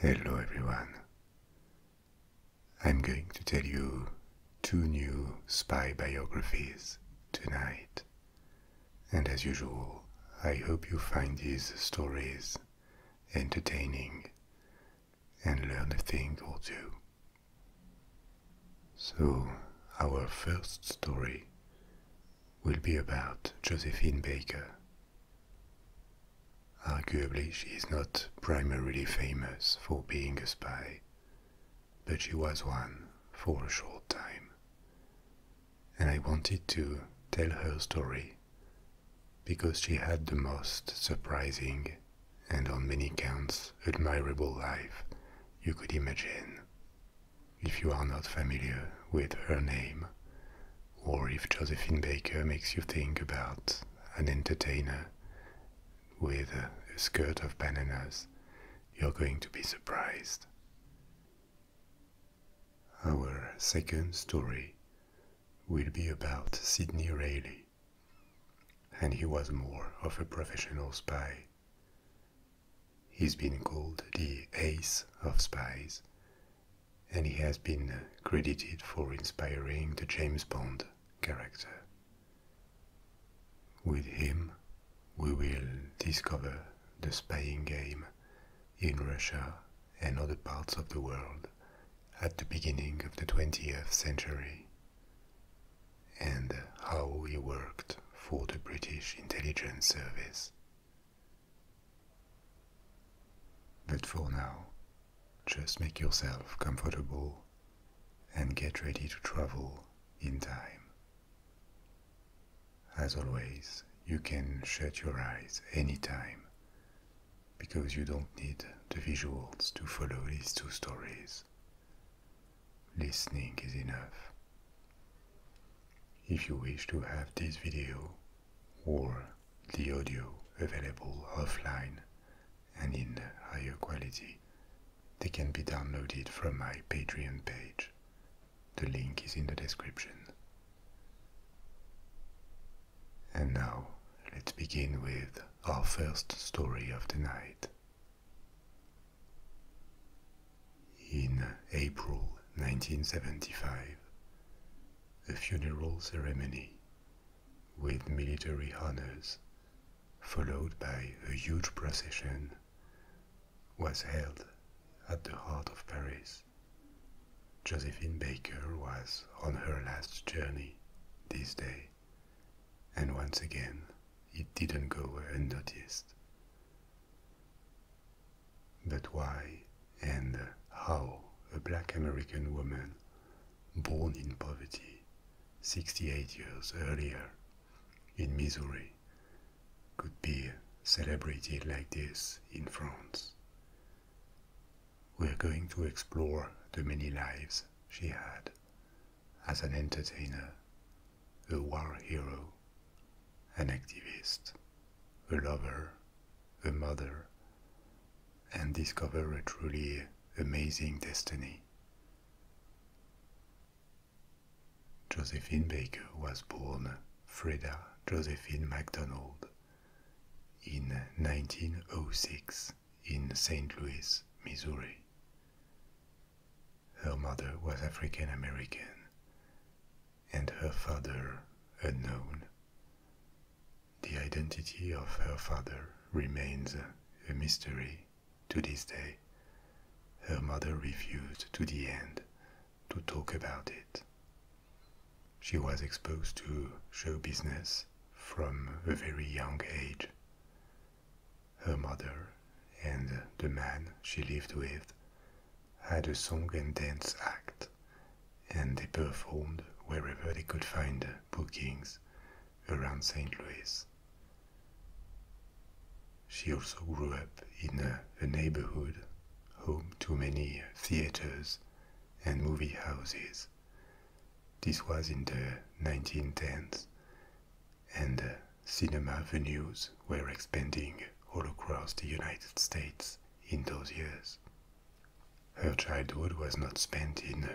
Hello everyone. I'm going to tell you two new spy biographies tonight. And as usual, I hope you find these stories entertaining and learn a thing or two. So, our first story will be about Josephine Baker, Arguably, she is not primarily famous for being a spy, but she was one for a short time. And I wanted to tell her story because she had the most surprising and on many counts admirable life you could imagine if you are not familiar with her name, or if Josephine Baker makes you think about an entertainer with a skirt of bananas, you're going to be surprised. Our second story will be about Sidney Rayleigh, and he was more of a professional spy. He's been called the ace of spies and he has been credited for inspiring the James Bond character. With him, we will discover the spying game in Russia and other parts of the world at the beginning of the 20th century and how he worked for the British intelligence service. But for now, just make yourself comfortable and get ready to travel in time. As always, you can shut your eyes anytime because you don't need the visuals to follow these two stories. Listening is enough. If you wish to have this video or the audio available offline and in higher quality, they can be downloaded from my Patreon page. The link is in the description. And now, let's begin with our first story of the night. In April 1975, a funeral ceremony with military honors, followed by a huge procession, was held at the heart of Paris. Josephine Baker was on her last journey this day, and once again it didn't go unnoticed. But why and how a black American woman born in poverty 68 years earlier in Missouri could be celebrated like this in France? We're going to explore the many lives she had as an entertainer, a war hero, an activist a lover, a mother, and discover a truly amazing destiny. Josephine Baker was born Freda Josephine MacDonald in 1906 in St. Louis, Missouri. Her mother was African American and her father unknown. The identity of her father remains a mystery to this day. Her mother refused to the end to talk about it. She was exposed to show business from a very young age. Her mother and the man she lived with had a song and dance act and they performed wherever they could find bookings around St. Louis. She also grew up in a, neighborhood home to many theaters and movie houses. This was in the 1910s, and uh, cinema venues were expanding all across the United States in those years. Her childhood was not spent in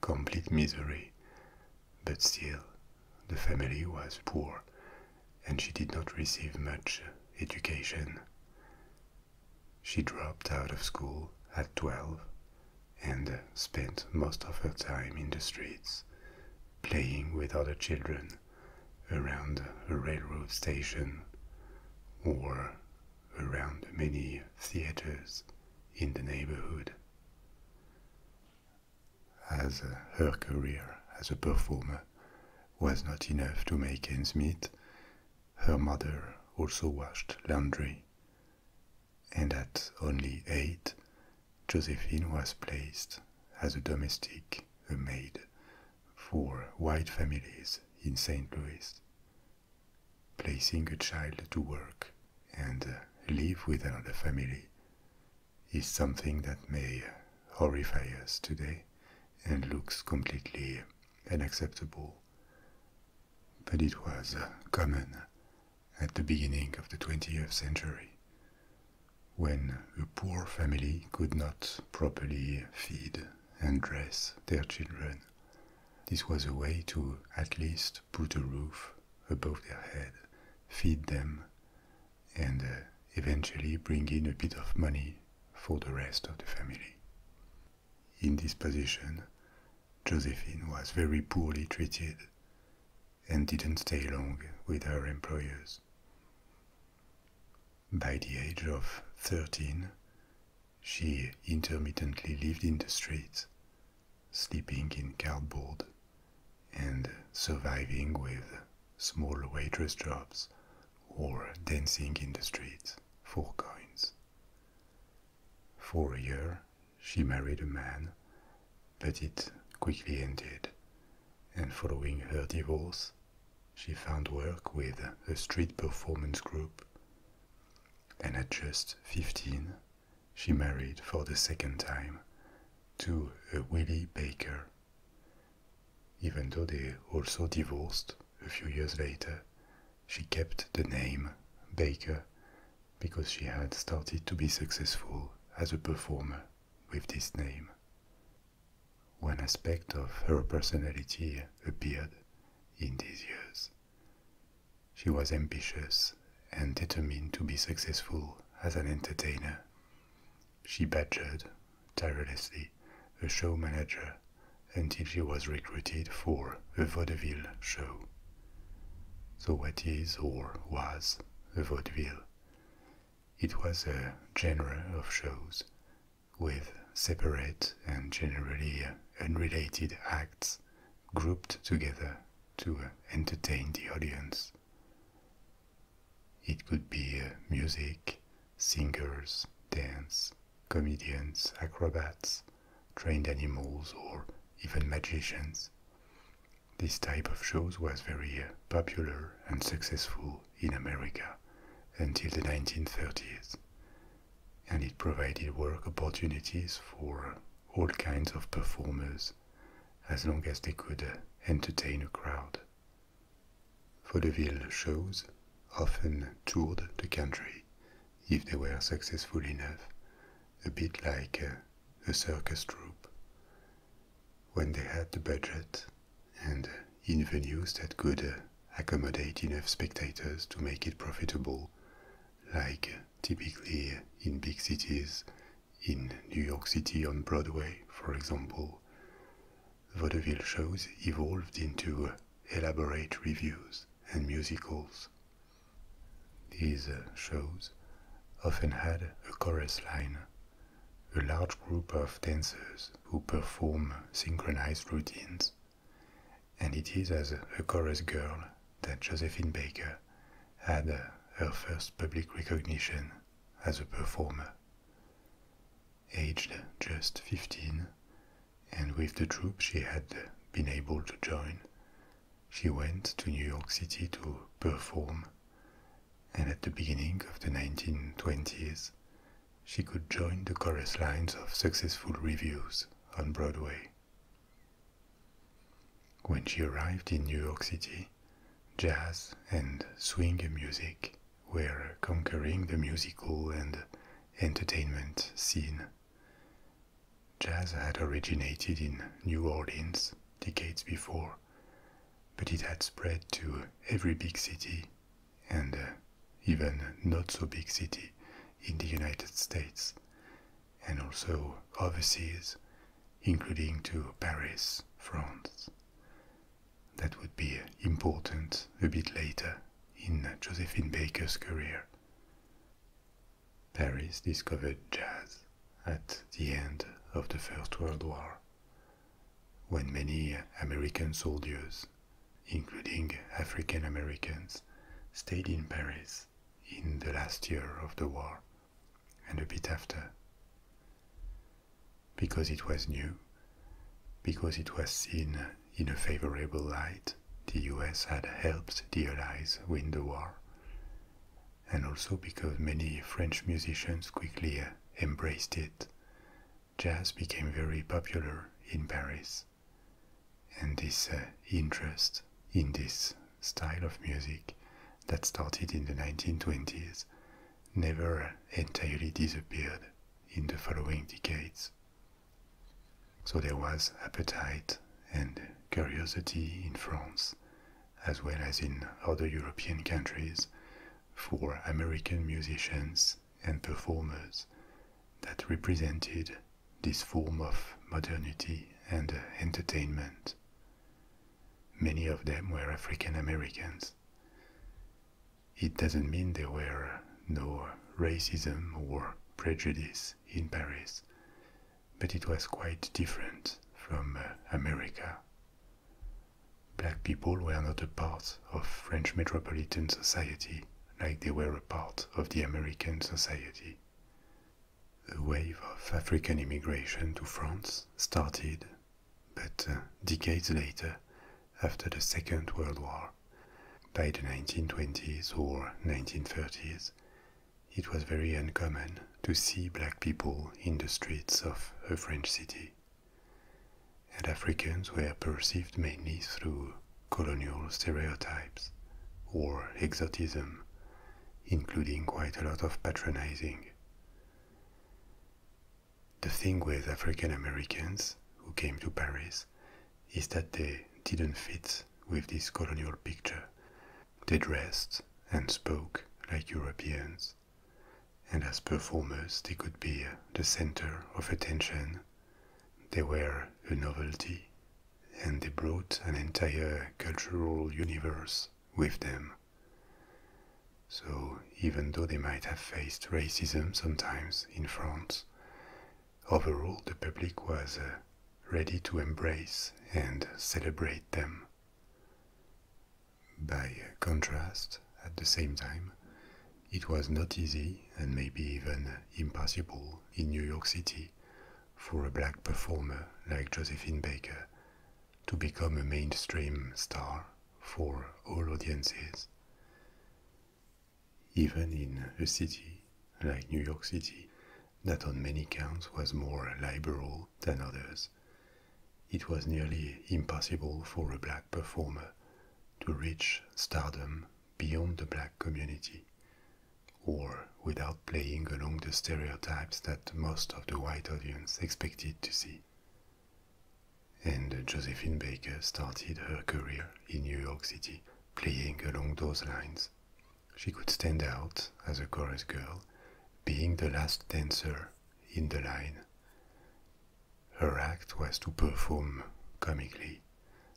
complete misery, but still, the family was poor and she did not receive much education. She dropped out of school at 12 and spent most of her time in the streets, playing with other children around a railroad station or around many theaters in the neighborhood. As her career as a performer was not enough to make ends meet, her mother also washed laundry. And at only eight, Josephine was placed as a domestic a maid for white families in St. Louis, placing a child to work and live with another family. Is something that may horrify us today and looks completely unacceptable. But it was common at the beginning of the 20th century, when a poor family could not properly feed and dress their children. This was a way to at least put a roof above their head, feed them, and uh, eventually bring in a bit of money for the rest of the family. In this position, Josephine was very poorly treated and didn't stay long with her employers. By the age of 13, she intermittently lived in the streets, sleeping in cardboard and surviving with small waitress jobs or dancing in the streets for coins. For a year, she married a man, but it quickly ended, and following her divorce, she found work with a street performance group. And at just 15, she married for the second time to a Willie Baker. Even though they also divorced a few years later, she kept the name Baker because she had started to be successful as a performer with this name one aspect of her personality appeared in these years. She was ambitious and determined to be successful as an entertainer. She badgered tirelessly a show manager until she was recruited for a vaudeville show. So, what is or was a vaudeville? It was a genre of shows with separate and generally uh, unrelated acts grouped together to uh, entertain the audience. It could be uh, music, singers, dance, comedians, acrobats, trained animals, or even magicians. This type of shows was very popular and successful in America until the 1930s, and it provided work opportunities for all kinds of performers as long as they could entertain a crowd. Vaudeville shows often toured the country if they were successful enough, a bit like a, circus troupe. When they had the budget, and uh, in venues that could uh, accommodate enough spectators to make it profitable, like uh, typically in big cities, in New York City on Broadway, for example. Vaudeville shows evolved into elaborate reviews and musicals. These shows often had a chorus line, a large group of dancers who perform synchronized routines and it is as a chorus girl that Josephine Baker had her first public recognition as a performer. Aged just 15, and with the troupe she had been able to join, she went to New York City to perform, and at the beginning of the 1920s, she could join the chorus lines of successful reviews on Broadway. When she arrived in New York City, jazz and swing music were conquering the musical and entertainment scene. Jazz had originated in New Orleans decades before, but it had spread to every big city and uh, even not so big city in the United States and also overseas, including to Paris, France. That would be important a bit later in Josephine Baker's career. Paris discovered jazz at the end of the First World War, when many American soldiers including African Americans, stayed in Paris in the last year of the war and a bit after. Because it was new, because it was seen in a favorable light, the US had helped the Allies win the war, and also because many French musicians quickly uh, embraced it jazz became very popular in Paris. And this uh, interest in this style of music that started in the 1920s never entirely disappeared in the following decades. So there was appetite and curiosity in France, as well as in other European countries, for American musicians and performers that represented this form of modernity and uh, entertainment. Many of them were African Americans. It doesn't mean there were uh, no racism or prejudice in Paris, but it was quite different from uh, America. Black people were not a part of French metropolitan society like they were a part of the American society. A wave of African immigration to France started, but uh, decades later, after the Second World War, by the 1920s or 1930s, it was very uncommon to see black people in the streets of a French city and Africans were perceived mainly through colonial stereotypes or exotism, including quite a lot of patronizing. The thing with African Americans who came to Paris is that they didn't fit with this colonial picture. They dressed and spoke like Europeans, and as performers, they could be the center of attention they were a novelty, and they brought an entire cultural universe with them. So, even though they might have faced racism sometimes in France, overall the public was uh, ready to embrace and celebrate them. By contrast, at the same time, it was not easy and maybe even impossible in New York City for a black performer like Josephine Baker to become a mainstream star for all audiences. Even in a city like New York City, that on many counts was more liberal than others, it was nearly impossible for a black performer to reach stardom beyond the black community, or without playing along the stereotypes that most of the white audience expected to see. And Josephine Baker started her career in New York City playing along those lines. She could stand out as a chorus girl, being the last dancer in the line. Her act was to perform comically,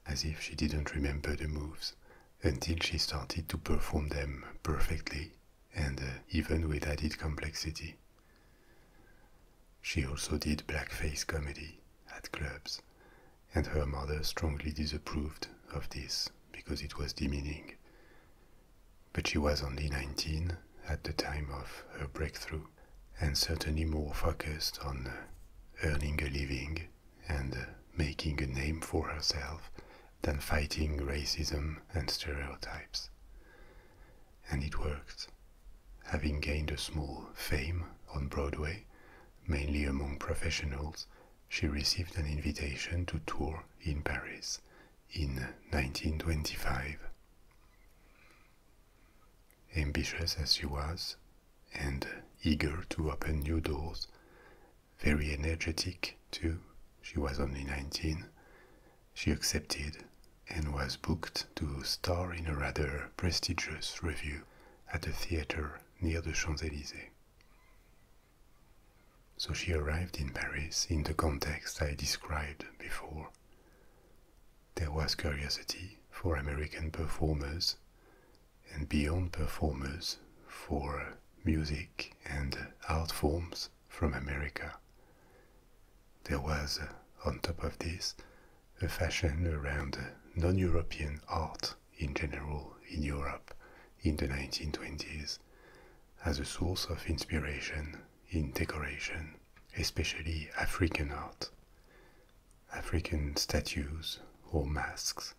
as if she didn't remember the moves, until she started to perform them perfectly and uh, even with added complexity. She also did blackface comedy at clubs, and her mother strongly disapproved of this because it was demeaning. But she was only 19 at the time of her breakthrough, and certainly more focused on uh, earning a living and uh, making a name for herself than fighting racism and stereotypes. And it worked. Having gained a small fame on Broadway, mainly among professionals, she received an invitation to tour in Paris in 1925. Ambitious as she was, and eager to open new doors. Very energetic, too. She was only 19. She accepted and was booked to star in a rather prestigious revue at a theater near the Champs Elysees. So she arrived in Paris in the context I described before. There was curiosity for American performers and beyond performers for music and art forms from America. There was, on top of this, a fashion around non European art in general in Europe in the 1920s as a source of inspiration in decoration, especially African art. African statues or masks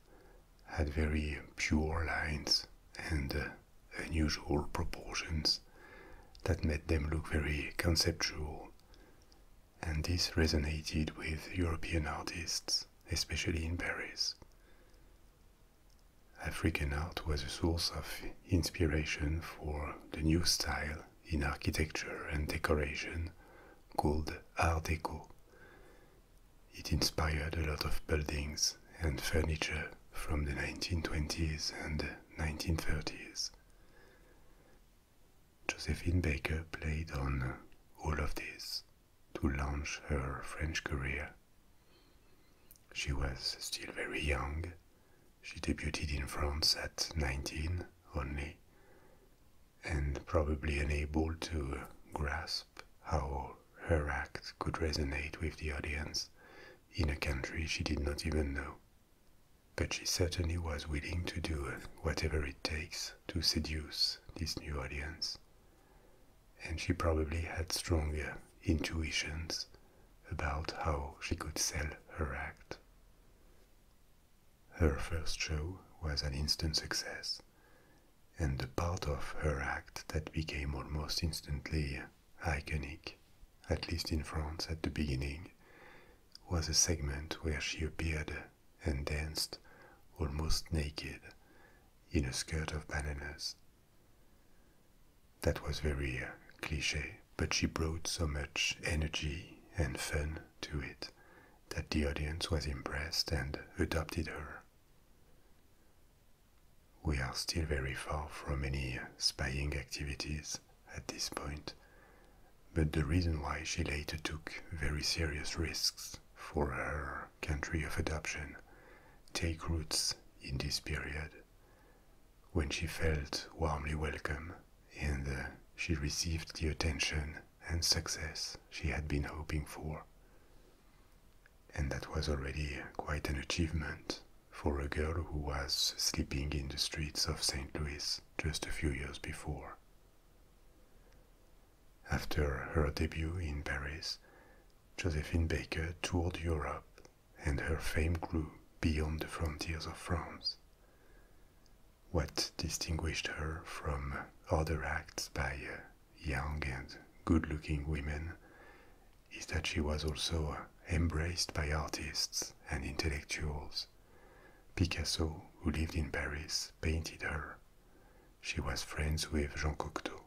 had very pure lines and uh, unusual proportions that made them look very conceptual. And this resonated with European artists, especially in Paris. African art was a source of inspiration for the new style in architecture and decoration called Art Deco. It inspired a lot of buildings and furniture from the 1920s and 1930s. Josephine Baker played on all of this to launch her French career. She was still very young. She debuted in France at 19 only and probably unable to grasp how her act could resonate with the audience in a country she did not even know. But she certainly was willing to do whatever it takes to seduce this new audience. And she probably had stronger intuitions about how she could sell her act. Her first show was an instant success, and the part of her act that became almost instantly iconic, at least in France at the beginning, was a segment where she appeared and danced almost naked in a skirt of bananas. That was very cliche, but she brought so much energy and fun to it that the audience was impressed and adopted her. We are still very far from any spying activities at this point, but the reason why she later took very serious risks for her country of adoption take roots in this period, when she felt warmly welcome and she received the attention and success she had been hoping for. And that was already quite an achievement for a girl who was sleeping in the streets of St. Louis just a few years before. After her debut in Paris, Josephine Baker toured Europe and her fame grew beyond the frontiers of France what distinguished her from other acts by uh, young and good looking women is that she was also uh, embraced by artists and intellectuals. Picasso, who lived in Paris, painted her. She was friends with Jean Cocteau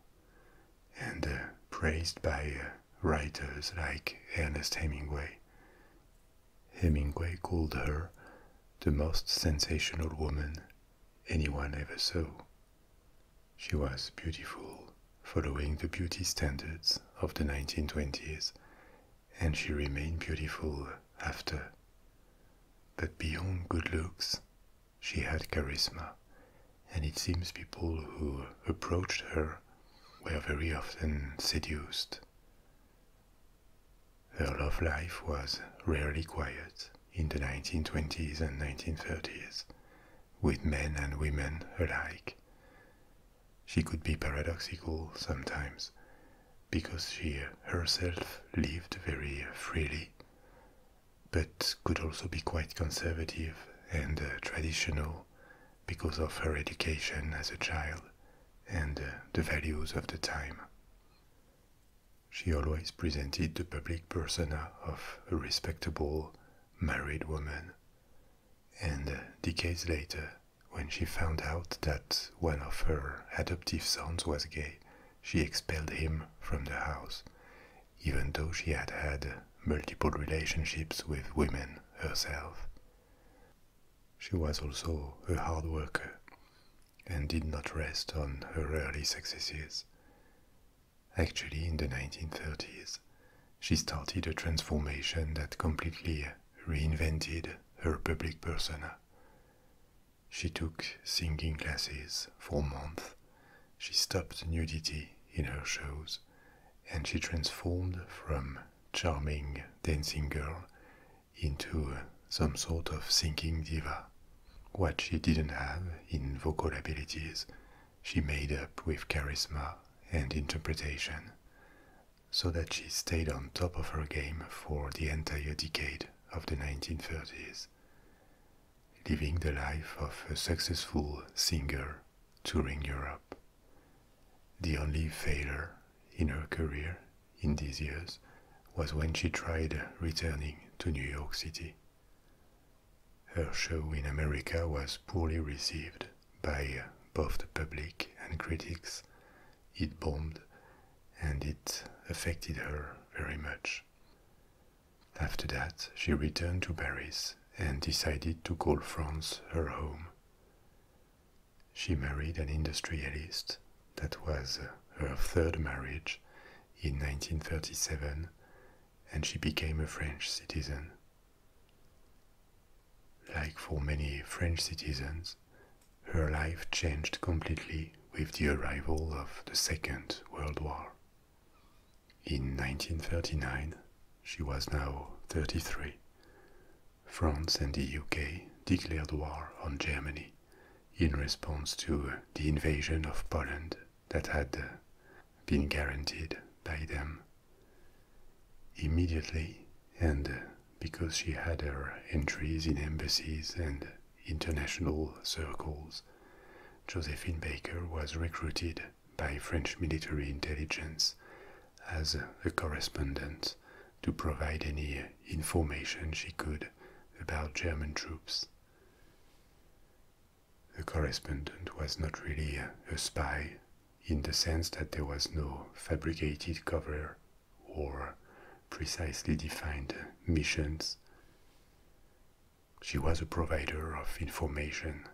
and uh, praised by writers like Ernest Hemingway. Hemingway called her the most sensational woman anyone ever saw. She was beautiful, following the beauty standards of the 1920s, and she remained beautiful after. But beyond good looks, she had charisma, and it seems people who approached her were very often seduced. Her love life was rarely quiet in the 1920s and 1930s, with men and women alike. She could be paradoxical sometimes, because she herself lived very freely, but could also be quite conservative and uh, traditional because of her education as a child and uh, the values of the time. She always presented the public persona of a respectable married woman. And uh, decades later, when she found out that one of her adoptive sons was gay, she expelled him from the house, even though she had had multiple relationships with women herself. She was also a hard worker and did not rest on her early successes. Actually, in the 1930s, she started a transformation that completely reinvented her public persona. She took singing classes for months, she stopped nudity in her shows, and she transformed from charming dancing girl into some sort of thinking diva. What she didn't have in vocal abilities, she made up with charisma and interpretation, so that she stayed on top of her game for the entire decade of the 1930s, living the life of a successful singer touring Europe. The only failure in her career in these years was when she tried returning to New York City. Her show in America was poorly received by both the public and critics. It bombed and it affected her very much. After that, she returned to Paris and decided to call France her home. She married an industrialist that was uh, her third marriage in 1937, and she became a French citizen. Like for many French citizens, her life changed completely with the arrival of the Second World War. In 1939, she was now 33. France and the UK declared war on Germany in response to the invasion of Poland that had uh, been guaranteed by them. Immediately, and uh, because she had her entries in embassies and international circles, Josephine Baker was recruited by French military intelligence as a correspondent to provide any information she could about German troops. The correspondent was not really a spy in the sense that there was no fabricated cover or precisely defined missions. She was a provider of information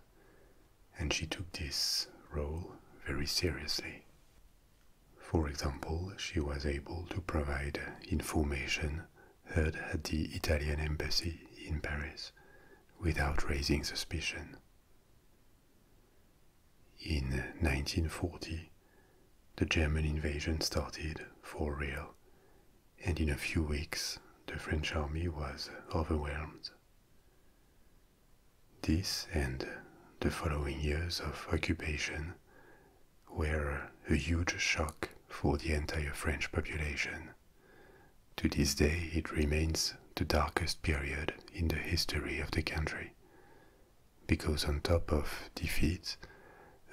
and she took this role very seriously. For example, she was able to provide information heard at the Italian embassy in Paris without raising suspicion. In 1940, the German invasion started for real, and in a few weeks, the French army was overwhelmed. This and the following years of occupation were a huge shock for the entire French population. To this day, it remains the darkest period in the history of the country, because on top of defeat,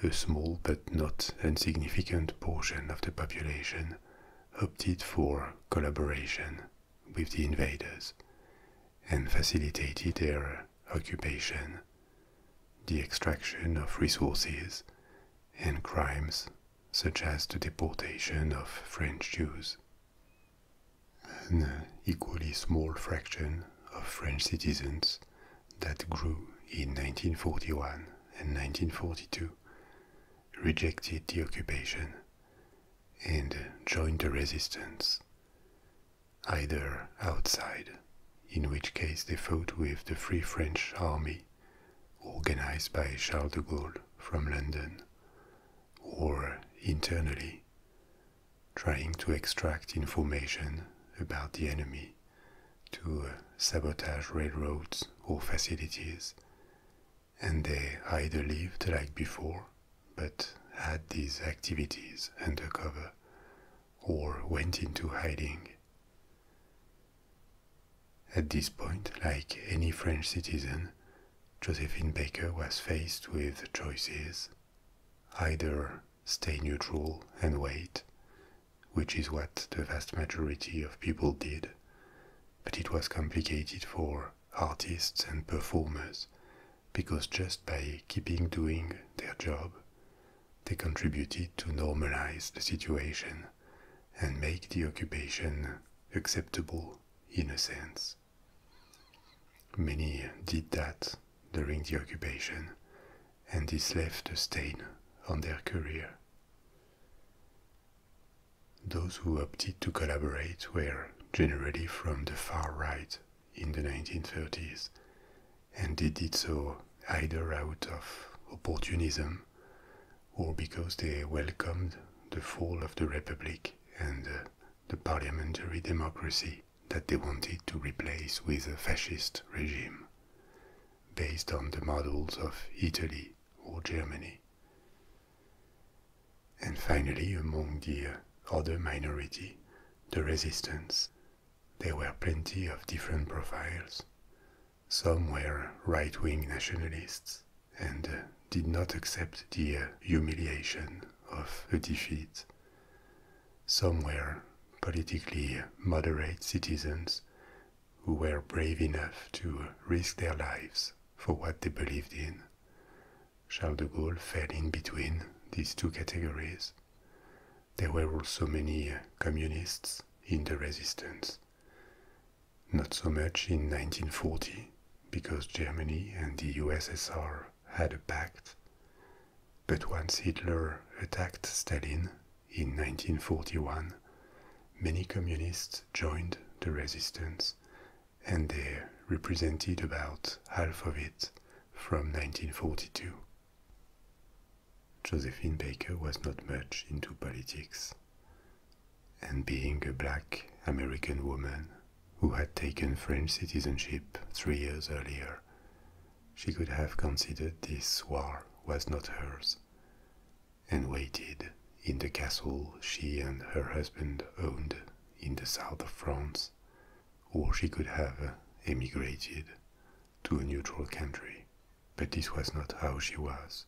a small but not insignificant portion of the population opted for collaboration with the invaders and facilitated their occupation the extraction of resources, and crimes such as the deportation of French Jews. An equally small fraction of French citizens that grew in 1941 and 1942 rejected the occupation and joined the resistance either outside, in which case they fought with the Free French Army, organized by Charles de Gaulle from London, or internally, trying to extract information about the enemy to uh, sabotage railroads or facilities, and they either lived like before but had these activities undercover or went into hiding. At this point, like any French citizen, Josephine Baker was faced with choices. Either stay neutral and wait, which is what the vast majority of people did, but it was complicated for artists and performers because just by keeping doing their job, they contributed to normalize the situation and make the occupation acceptable in a sense. Many did that during the occupation, and this left a stain on their career. Those who opted to collaborate were generally from the far right in the 1930s and they did so either out of opportunism or because they welcomed the fall of the Republic and uh, the parliamentary democracy that they wanted to replace with a fascist regime based on the models of Italy or Germany. And finally, among the uh, other minority, the resistance there were plenty of different profiles. Some were right wing nationalists and uh, did not accept the uh, humiliation of a defeat. Some were politically moderate citizens who were brave enough to risk their lives for what they believed in. Charles de Gaulle fell in between these two categories there were also many communists in the resistance. Not so much in 1940, because Germany and the USSR had a pact. But once Hitler attacked Stalin in 1941, many communists joined the resistance, and they represented about half of it from 1942. Josephine Baker was not much into politics. And being a black American woman who had taken French citizenship three years earlier, she could have considered this war was not hers and waited in the castle she and her husband owned in the south of France, or she could have emigrated to a neutral country, but this was not how she was.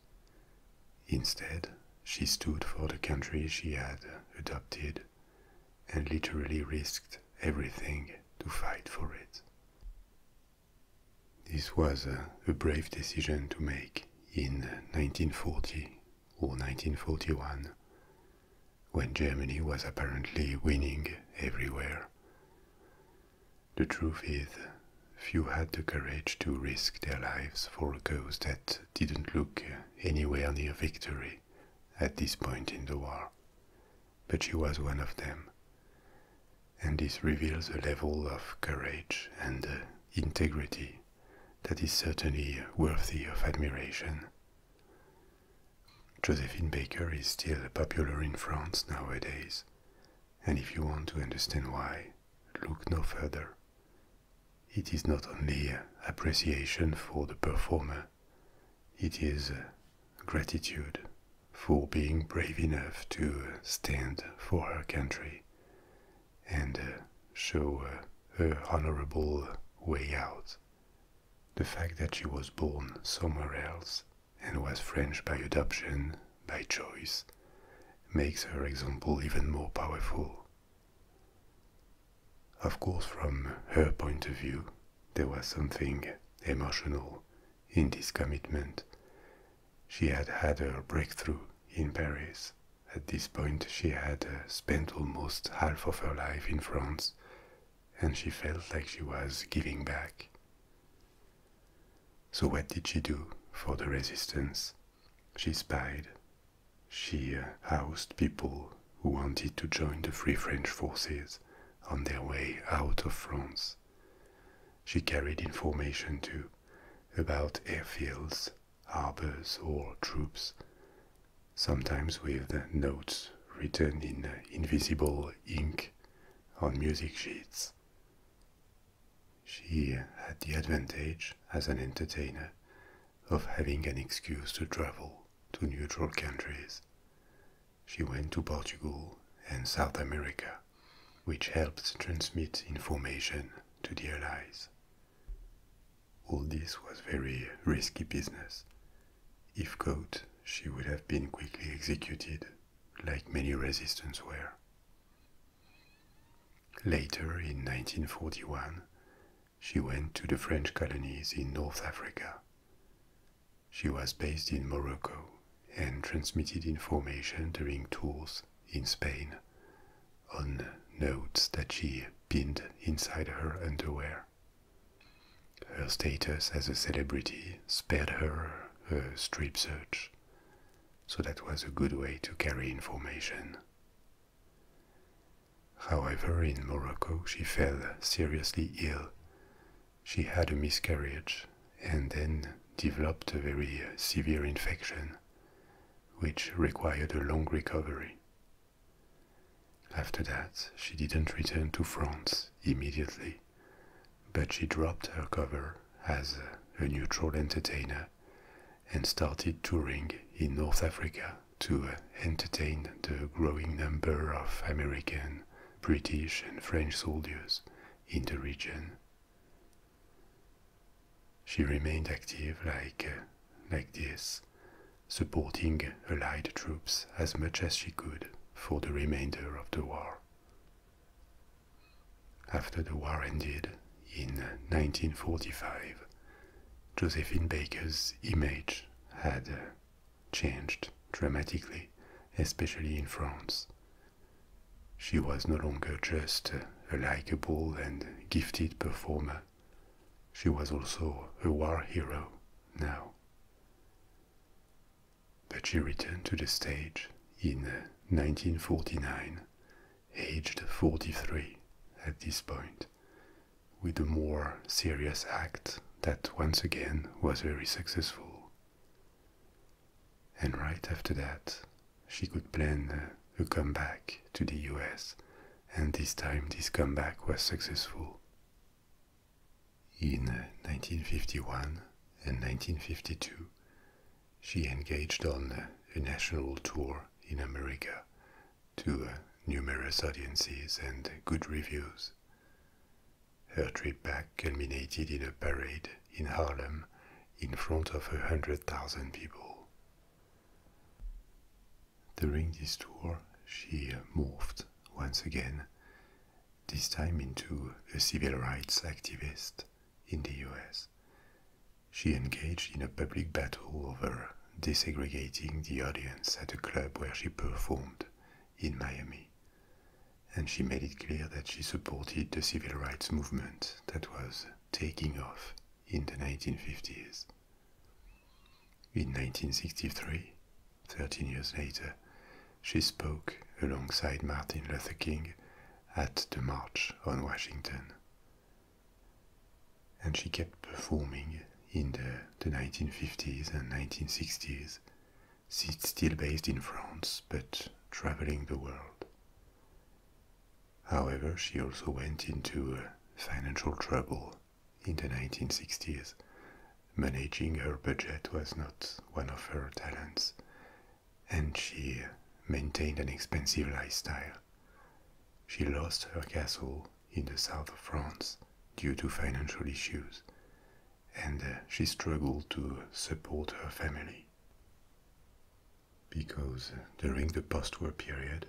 Instead, she stood for the country she had adopted and literally risked everything to fight for it. This was a, brave decision to make in 1940 or 1941, when Germany was apparently winning everywhere. The truth is, few had the courage to risk their lives for a cause that didn't look anywhere near victory at this point in the war. But she was one of them. And this reveals a level of courage and uh, integrity that is certainly worthy of admiration. Josephine Baker is still popular in France nowadays, and if you want to understand why, look no further. It is not only appreciation for the performer, it is gratitude for being brave enough to stand for her country and show her honorable way out. The fact that she was born somewhere else and was French by adoption, by choice, makes her example even more powerful. Of course, from her point of view, there was something emotional in this commitment. She had had her breakthrough in Paris. At this point, she had uh, spent almost half of her life in France, and she felt like she was giving back so, what did she do for the resistance? She spied. She uh, housed people who wanted to join the Free French forces on their way out of France. She carried information too about airfields, harbors, or troops, sometimes with notes written in uh, invisible ink on music sheets. She had the advantage as an entertainer of having an excuse to travel to neutral countries. She went to Portugal and South America, which helped transmit information to the Allies. All this was very risky business. If caught, she would have been quickly executed like many resistance were. Later, in 1941, she went to the French colonies in North Africa. She was based in Morocco and transmitted information during tours in Spain on notes that she pinned inside her underwear. Her status as a celebrity spared her a strip search, so that was a good way to carry information. However, in Morocco she fell seriously ill. She had a miscarriage and then developed a very severe infection, which required a long recovery. After that, she didn't return to France immediately but she dropped her cover as a neutral entertainer and started touring in North Africa to uh, entertain the growing number of American, British, and French soldiers in the region. She remained active like, uh, like this, supporting Allied troops as much as she could for the remainder of the war. After the war ended in 1945, Josephine Baker's image had uh, changed dramatically, especially in France. She was no longer just a likable and gifted performer. She was also a war hero now but she returned to the stage in 1949, uh, aged 43 at this point, with a more serious act that once again was very successful. And right after that, she could plan uh, a comeback to the US, and this time this comeback was successful. In 1951 uh, and 1952, she engaged on uh, a national tour in America to uh, numerous audiences and good reviews. Her trip back culminated in a parade in Harlem in front of 100,000 people. During this tour, she morphed once again this time into a civil rights activist in the US. She engaged in a public battle over desegregating the audience at a club where she performed in Miami. And she made it clear that she supported the civil rights movement that was taking off in the 1950s. In 1963, 13 years later, she spoke alongside Martin Luther King at the March on Washington. And she kept performing in the, 1950s and 1960s, still based in France but traveling the world. However, she also went into uh, financial trouble in the 1960s Managing her budget was not one of her talents, and she maintained an expensive lifestyle. She lost her castle in the south of France due to financial issues, and uh, she struggled to support her family. Because uh, during the post war period,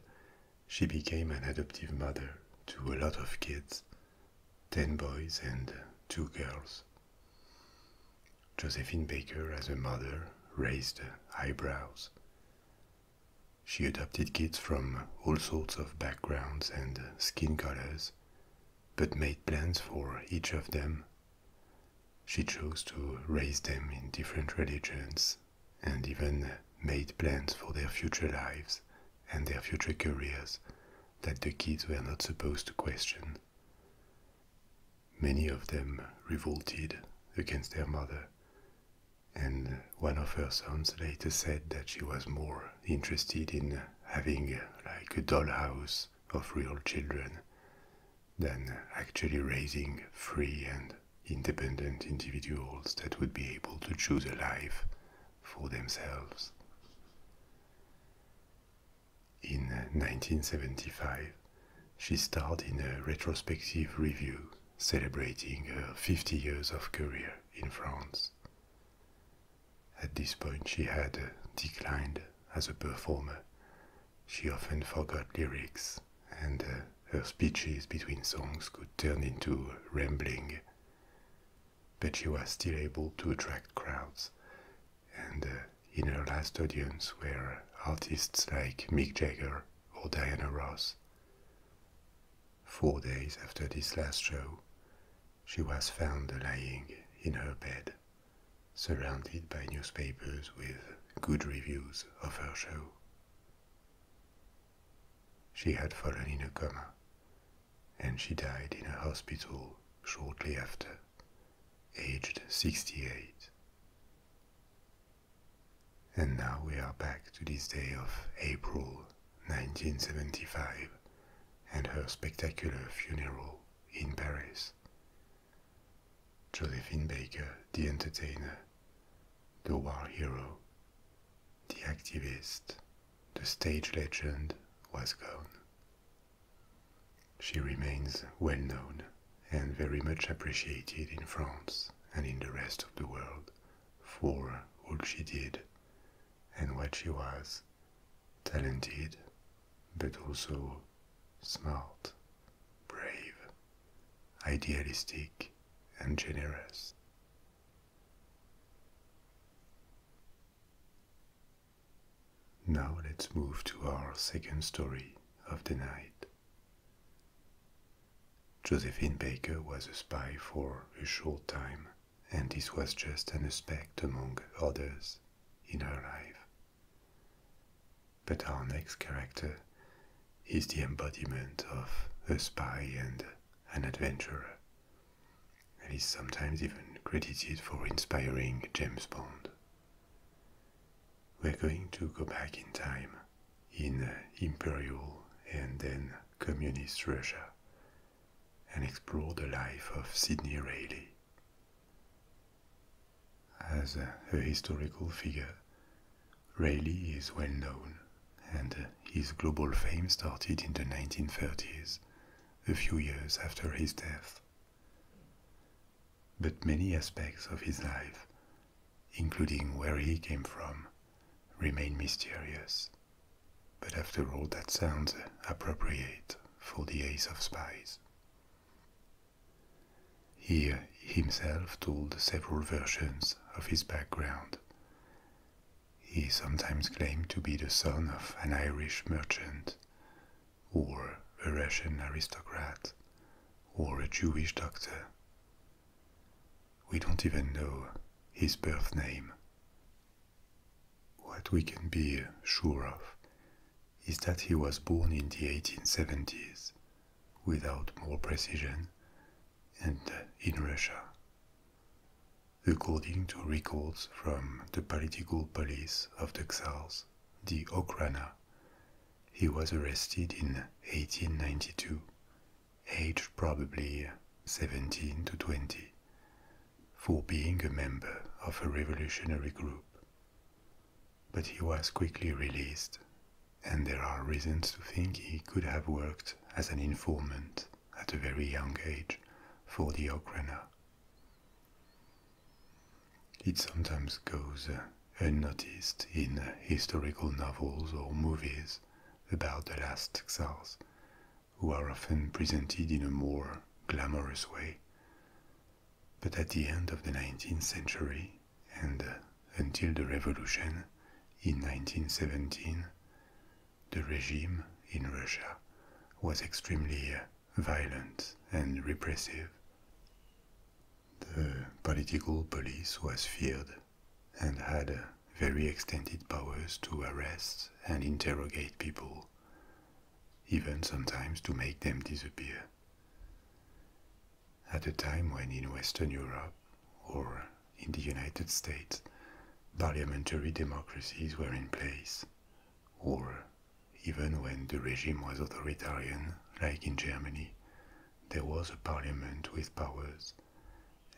she became an adoptive mother to a lot of kids 10 boys and uh, 2 girls. Josephine Baker, as a mother, raised eyebrows. She adopted kids from all sorts of backgrounds and skin colors, but made plans for each of them. She chose to raise them in different religions and even made plans for their future lives and their future careers that the kids were not supposed to question. Many of them revolted against their mother, and one of her sons later said that she was more interested in having like a dollhouse of real children than actually raising free and independent individuals that would be able to choose a life for themselves. In 1975, uh, she starred in a retrospective review celebrating her 50 years of career in France. At this point, she had uh, declined as a performer. She often forgot lyrics, and uh, her speeches between songs could turn into rambling. But she was still able to attract crowds, and in her last audience where artists like Mick Jagger or Diana Ross. Four days after this last show, she was found lying in her bed, surrounded by newspapers with good reviews of her show. She had fallen in a coma, and she died in a hospital shortly after aged 68. And now we are back to this day of April 1975 and her spectacular funeral in Paris. Josephine Baker, the entertainer, the war hero, the activist, the stage legend was gone. She remains well known and very much appreciated in France and in the rest of the world for all she did and what she was talented, but also smart, brave, idealistic, and generous. Now let's move to our second story of the night. Josephine Baker was a spy for a short time, and this was just an aspect among others in her life. But our next character is the embodiment of a spy and an adventurer, and is sometimes even credited for inspiring James Bond. We're going to go back in time in uh, imperial and then communist Russia and explore the life of Sidney Raleigh. As a historical figure, Raleigh is well known, and uh, his global fame started in the 1930s, a few years after his death, but many aspects of his life, including where he came from, remain mysterious. But after all, that sounds appropriate for the ace of spies. He himself told several versions of his background. He sometimes claimed to be the son of an Irish merchant or a Russian aristocrat, or a Jewish doctor. We don't even know his birth name. What we can be sure of is that he was born in the 1870s, without more precision, and uh, in Russia. According to records from the political police of the Czars, the Okrana. He was arrested in 1892, aged probably 17 to 20, for being a member of a revolutionary group. But he was quickly released, and there are reasons to think he could have worked as an informant at a very young age for the Okrana. It sometimes goes uh, unnoticed in uh, historical novels or movies about the last tsars, who are often presented in a more glamorous way. But at the end of the 19th century and uh, until the revolution in 1917, the regime in Russia was extremely violent and repressive. The political police was feared and had very extended powers to arrest and interrogate people, even sometimes to make them disappear. At a time when in Western Europe or in the United States, parliamentary democracies were in place, or even when the regime was authoritarian, like in Germany, there was a parliament with powers,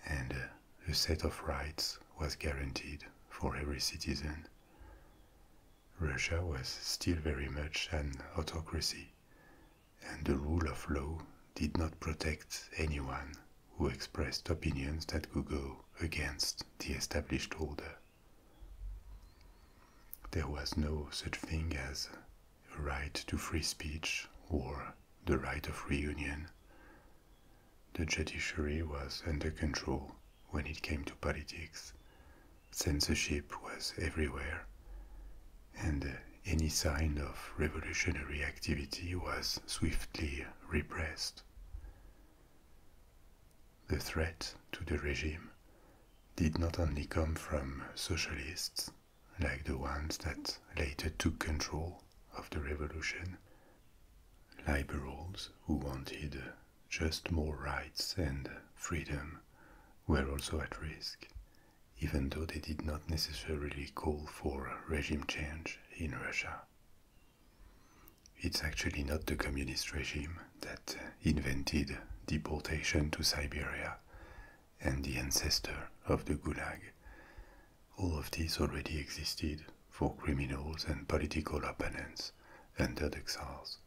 and uh, a set of rights was guaranteed for every citizen. Russia was still very much an autocracy, and the rule of law did not protect anyone who expressed opinions that could go against the established order. There was no such thing as a right to free speech or the right of reunion. The judiciary was under control when it came to politics. Censorship was everywhere, and any sign of revolutionary activity was swiftly repressed. The threat to the regime did not only come from socialists, like the ones that later took control of the revolution, liberals who wanted just more rights and freedom were also at risk, even though they did not necessarily call for regime change in Russia. It's actually not the communist regime that uh, invented deportation to Siberia and the ancestor of the Gulag. All of these already existed for criminals and political opponents under the Tsars.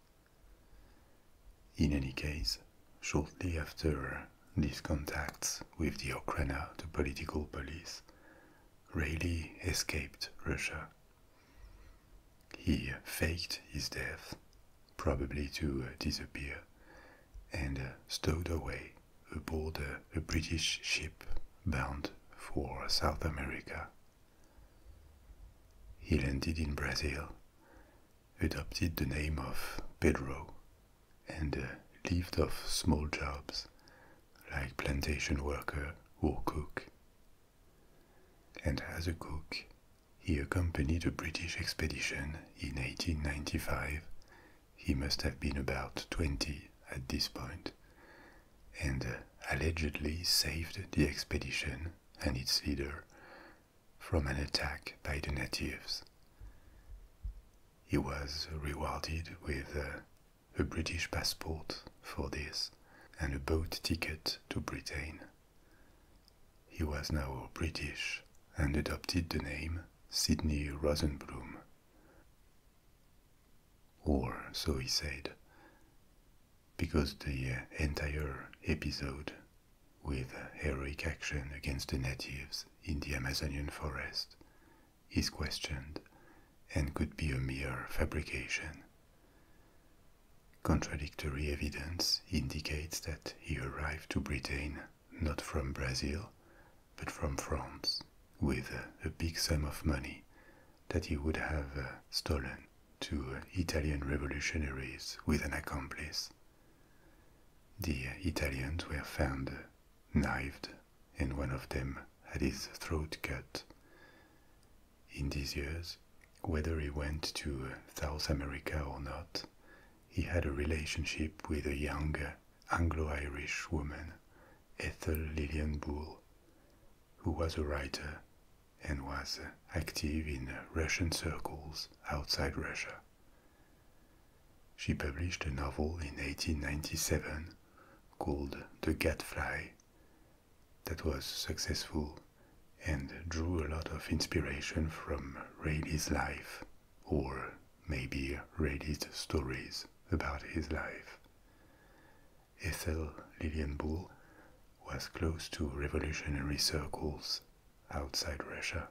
In any case, shortly after uh, these contacts with the Okhrana, the political police, Rayleigh escaped Russia he faked his death, probably to uh, disappear, and uh, stowed away aboard uh, a British ship bound for South America. He landed in Brazil, adopted the name of Pedro, and lived off small jobs like plantation worker or cook and as a cook, he accompanied a British expedition in 1895. He must have been about 20 at this point, and uh, allegedly saved the expedition and its leader from an attack by the natives. He was rewarded with uh, a, British passport for this and a boat ticket to Britain. He was now British and adopted the name Sidney Rosenblum. Or so he said, because the uh, entire episode with heroic action against the natives in the Amazonian forest is questioned and could be a mere fabrication Contradictory evidence indicates that he arrived to Britain not from Brazil, but from France, with a big sum of money that he would have uh, stolen to uh, Italian revolutionaries with an accomplice. The uh, Italians were found knifed, and one of them had his throat cut. In these years, whether he went to uh, South America or not, he had a relationship with a younger Anglo Irish woman, Ethel Lillian Bull, who was a writer and was uh, active in uh, Russian circles outside Russia. She published a novel in 1897 called The Gadfly, that was successful and drew a lot of inspiration from Rayleigh's life, or maybe Rayleigh's stories about his life. Ethel Lillian Bull was close to revolutionary circles outside Russia,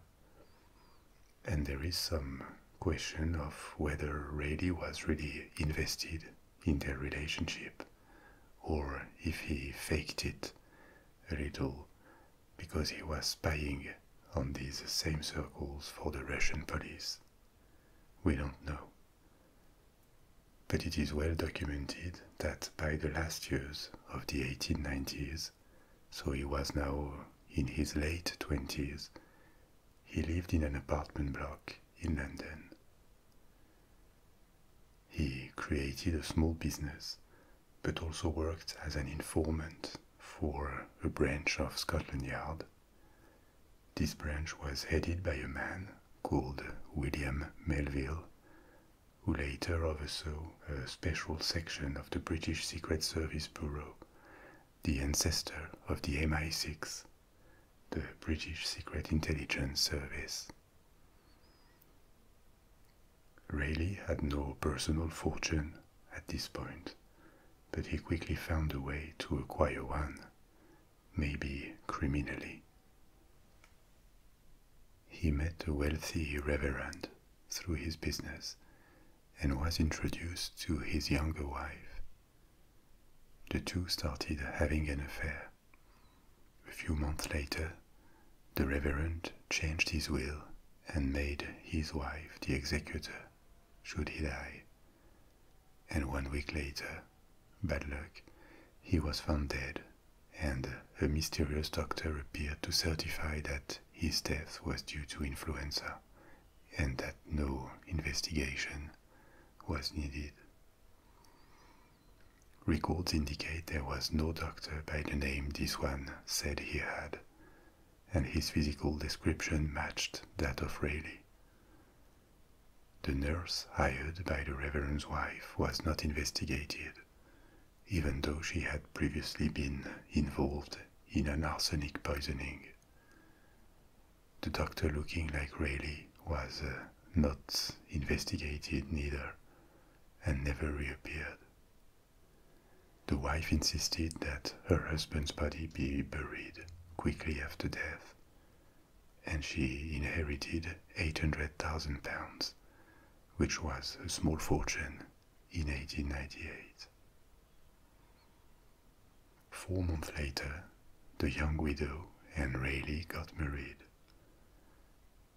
and there is some question of whether Rayleigh was really invested in their relationship or if he faked it a little because he was spying on these same circles for the Russian police. We don't know. But it is well documented that by the last years of the 1890s, so he was now in his late 20s, he lived in an apartment block in London. He created a small business, but also worked as an informant for a branch of Scotland Yard. This branch was headed by a man called William Melville, who later oversaw a special section of the British Secret Service Bureau, the ancestor of the MI6, the British Secret Intelligence Service. Rayleigh had no personal fortune at this point, but he quickly found a way to acquire one, maybe criminally. He met a wealthy reverend through his business and was introduced to his younger wife. The two started having an affair, a few months later, the Reverend changed his will and made his wife the executor, should he die. And one week later, bad luck, he was found dead, and a mysterious doctor appeared to certify that his death was due to influenza and that no investigation was needed. Records indicate there was no doctor by the name this one said he had, and his physical description matched that of Rayleigh. The nurse hired by the Reverend's wife was not investigated, even though she had previously been involved in an arsenic poisoning. The doctor looking like Rayleigh was uh, not investigated neither, and never reappeared. The wife insisted that her husband's body be buried quickly after death, and she inherited 800,000 pounds, which was a small fortune in 1898. Four months later, the young widow and Rayleigh got married.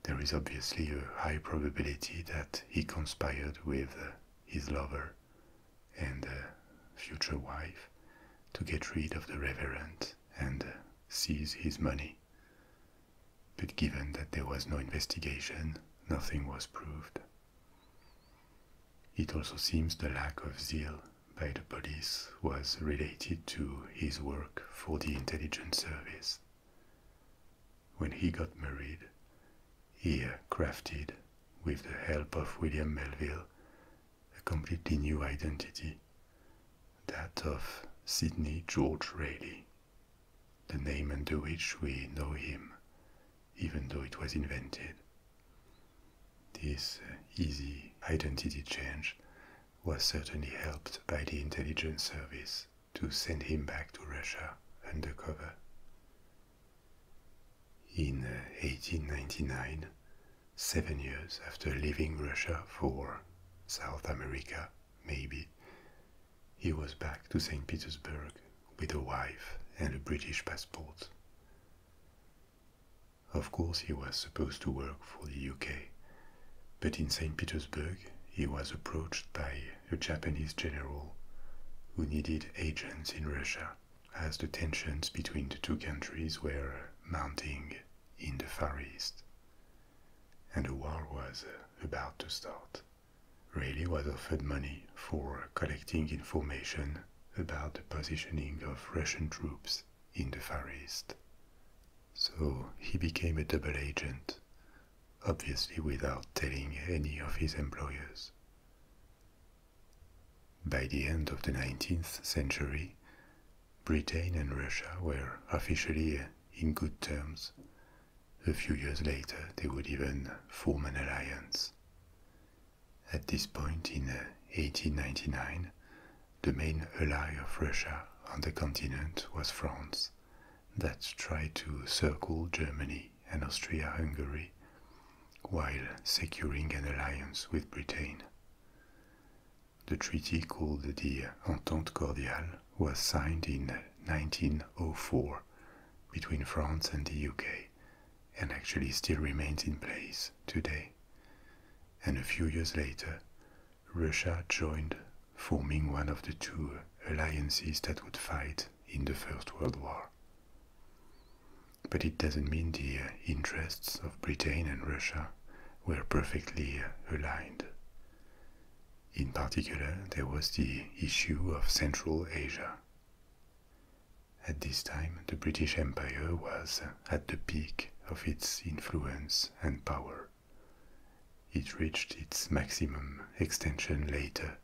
There is obviously a high probability that he conspired with uh, his lover and uh, future wife to get rid of the reverend and uh, seize his money. But given that there was no investigation, nothing was proved. It also seems the lack of zeal by the police was related to his work for the intelligence service. When he got married, he uh, crafted, with the help of William Melville, a completely new identity, that of Sidney George Rayleigh, the name under which we know him, even though it was invented. This uh, easy identity change was certainly helped by the intelligence service to send him back to Russia undercover. In 1899, seven years after leaving Russia for South America, maybe, he was back to St. Petersburg with a wife and a British passport. Of course, he was supposed to work for the UK, but in St. Petersburg, he was approached by a Japanese general who needed agents in Russia as the tensions between the two countries were mounting in the Far East. And a war was about to start. Rayleigh was offered money for collecting information about the positioning of Russian troops in the Far East. So he became a double agent, obviously without telling any of his employers. By the end of the 19th century, Britain and Russia were officially in good terms. A few years later, they would even form an alliance. At this point in 1899, uh, the main ally of Russia on the continent was France, that tried to circle Germany and Austria Hungary while securing an alliance with Britain. The treaty called the Entente Cordiale was signed in 1904 between France and the UK and actually still remains in place today. And a few years later, Russia joined, forming one of the two alliances that would fight in the First World War. But it doesn't mean the interests of Britain and Russia were perfectly aligned. In particular, there was the issue of Central Asia. At this time, the British Empire was at the peak of its influence and power. It reached its maximum extension later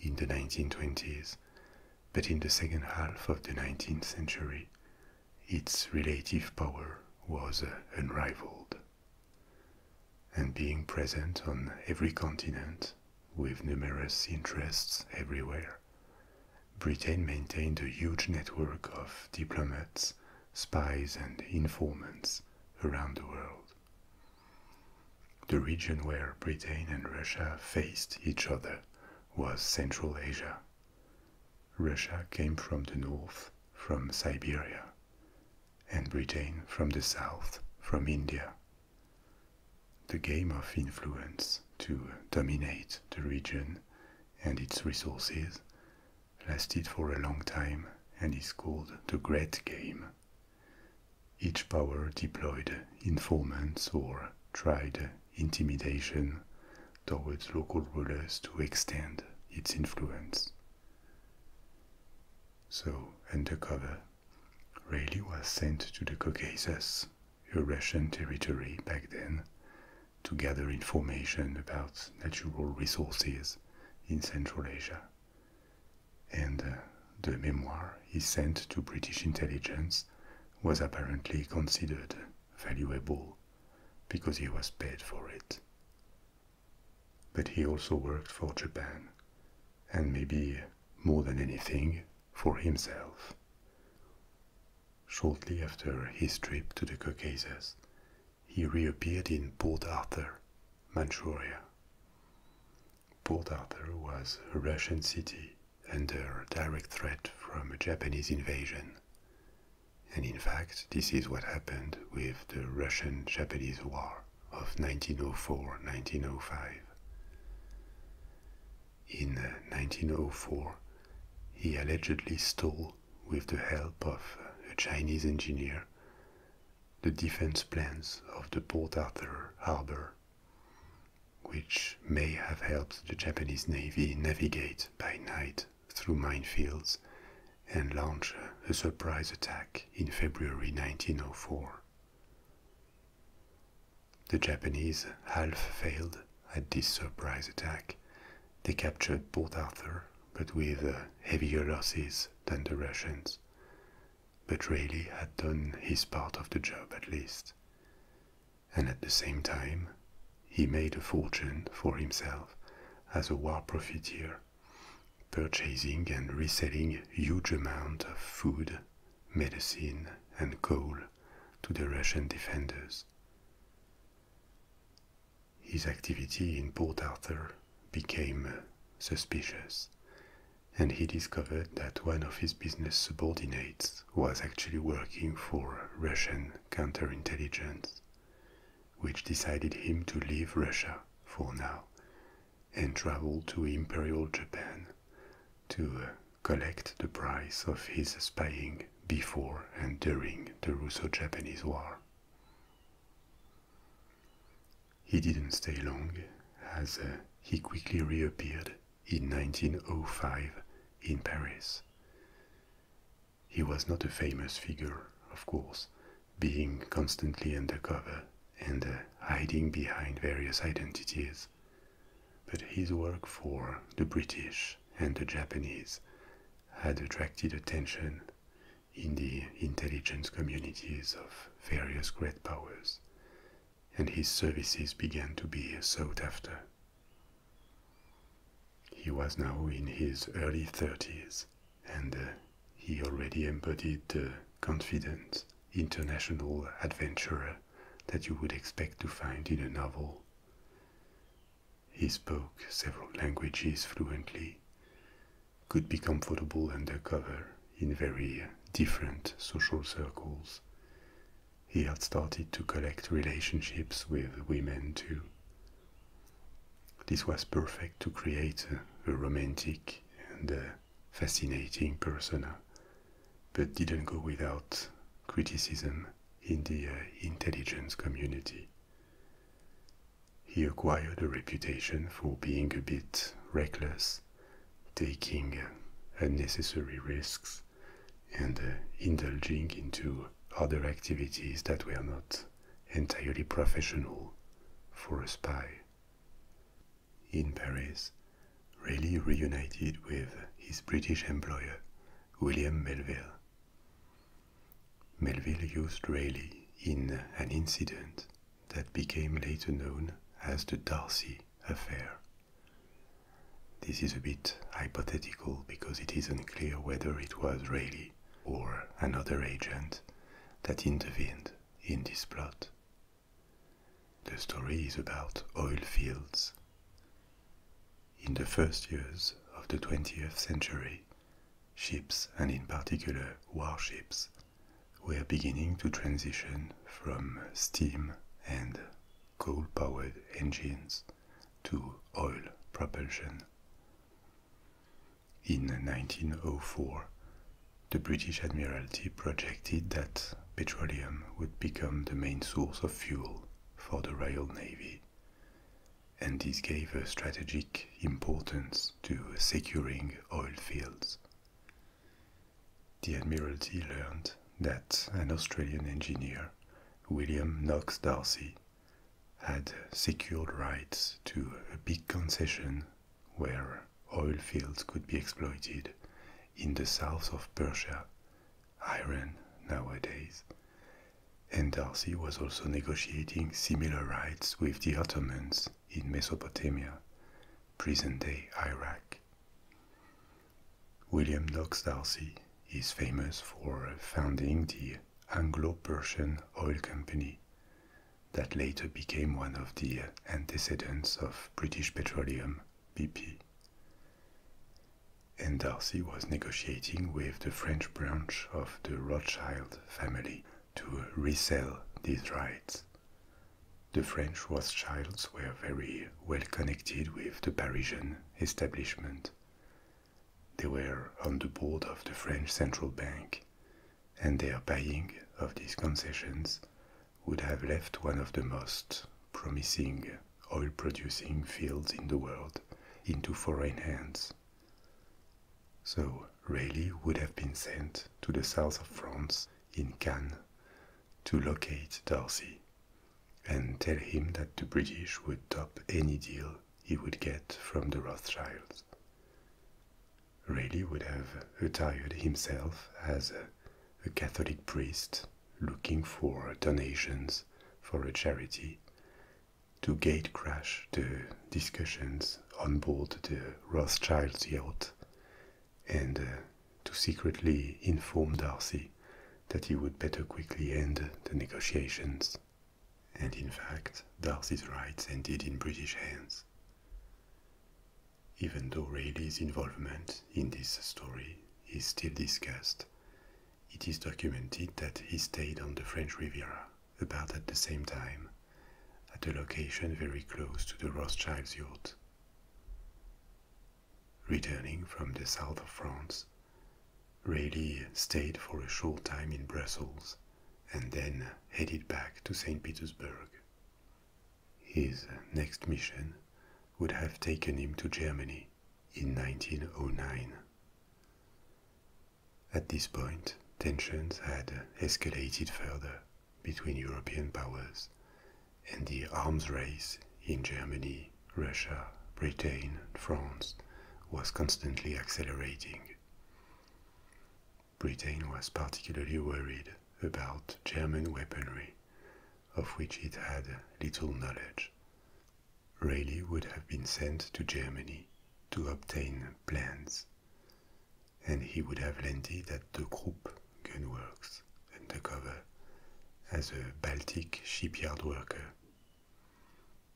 in the 1920s, but in the second half of the 19th century, its relative power was uh, unrivaled. And being present on every continent, with numerous interests everywhere, Britain maintained a huge network of diplomats spies and informants around the world. The region where Britain and Russia faced each other was Central Asia. Russia came from the north, from Siberia, and Britain from the south, from India. The game of influence to dominate the region and its resources lasted for a long time and is called the Great Game. Each power deployed informants or tried intimidation towards local rulers to extend its influence. So, undercover, Raleigh was sent to the Caucasus, a Russian territory back then, to gather information about natural resources in Central Asia. And uh, the memoir he sent to British intelligence was apparently considered valuable because he was paid for it. But he also worked for Japan, and maybe more than anything, for himself. Shortly after his trip to the Caucasus, he reappeared in Port Arthur, Manchuria. Port Arthur was a Russian city under direct threat from a Japanese invasion. And in fact, this is what happened with the Russian Japanese War of 1904 1905. In 1904, uh, he allegedly stole, with the help of a Chinese engineer, the defense plans of the Port Arthur harbor, which may have helped the Japanese Navy navigate by night through minefields and launch a surprise attack in February 1904. The Japanese half failed at this surprise attack. They captured Port Arthur but with uh, heavier losses than the Russians. But Rayleigh had done his part of the job at least. And at the same time, he made a fortune for himself as a war profiteer, purchasing and reselling huge amounts of food, medicine, and coal to the Russian defenders his activity in Port Arthur became suspicious, and he discovered that one of his business subordinates was actually working for Russian counterintelligence, which decided him to leave Russia for now and travel to Imperial Japan to uh, collect the price of his spying before and during the Russo Japanese War. He didn't stay long, as uh, he quickly reappeared in 1905 in Paris. He was not a famous figure, of course, being constantly undercover and uh, hiding behind various identities. But his work for the British and the Japanese had attracted attention in the intelligence communities of various great powers, and his services began to be sought after. He was now in his early 30s, and uh, he already embodied the confident, international adventurer that you would expect to find in a novel. He spoke several languages fluently, could be comfortable undercover in very different social circles. He had started to collect relationships with women too. This was perfect to create a, romantic and a fascinating persona, but didn't go without criticism in the uh, intelligence community. He acquired a reputation for being a bit reckless, taking unnecessary risks, and uh, indulging into other activities that were not entirely professional for a spy. In Paris, Rayleigh reunited with his British employer, William Melville. Melville used Rayleigh in an incident that became later known as the Darcy affair. This is a bit hypothetical because it is unclear whether it was Rayleigh or another agent that intervened in this plot. The story is about oil fields. In the first years of the 20th century, Ships, and in particular warships, were beginning to transition from steam and coal powered engines to oil propulsion. In 1904, the British Admiralty projected that petroleum would become the main source of fuel for the Royal Navy, and this gave a strategic importance to securing oil fields. The Admiralty learned that an Australian engineer, William Knox Darcy, had secured rights to a big concession where oil fields could be exploited in the south of Persia, Iran nowadays. And Darcy was also negotiating similar rights with the Ottomans in Mesopotamia, present day Iraq. William Knox Darcy is famous for founding the Anglo Persian Oil Company that later became one of the antecedents of British Petroleum, BP. And Darcy was negotiating with the French branch of the Rothschild family to resell these rights. The French Rothschilds were very well connected with the Parisian establishment. They were on the board of the French Central Bank, and their buying of these concessions would have left one of the most promising oil producing fields in the world into foreign hands. So Raleigh would have been sent to the south of France in Cannes to locate Darcy and tell him that the British would top any deal he would get from the Rothschilds. Raleigh would have attired himself as a Catholic priest looking for donations for a charity to gatecrash the discussions on board the Rothschild yacht and uh, to secretly inform Darcy that he would better quickly end the negotiations. And in fact, Darcy's rights ended in British hands. Even though Raleigh's involvement in this story is still discussed, it is documented that he stayed on the French Riviera about at the same time, at a location very close to the Rothschilds' yacht. Returning from the south of France, Rayleigh stayed for a short time in Brussels and then headed back to St. Petersburg. His next mission would have taken him to Germany in 1909. At this point, tensions had escalated further between European powers and the arms race in Germany, Russia, Britain, and France was constantly accelerating. Britain was particularly worried about German weaponry, of which it had little knowledge. Rayleigh would have been sent to Germany to obtain plans and he would have landed at the Krupp gunworks undercover as a Baltic shipyard worker.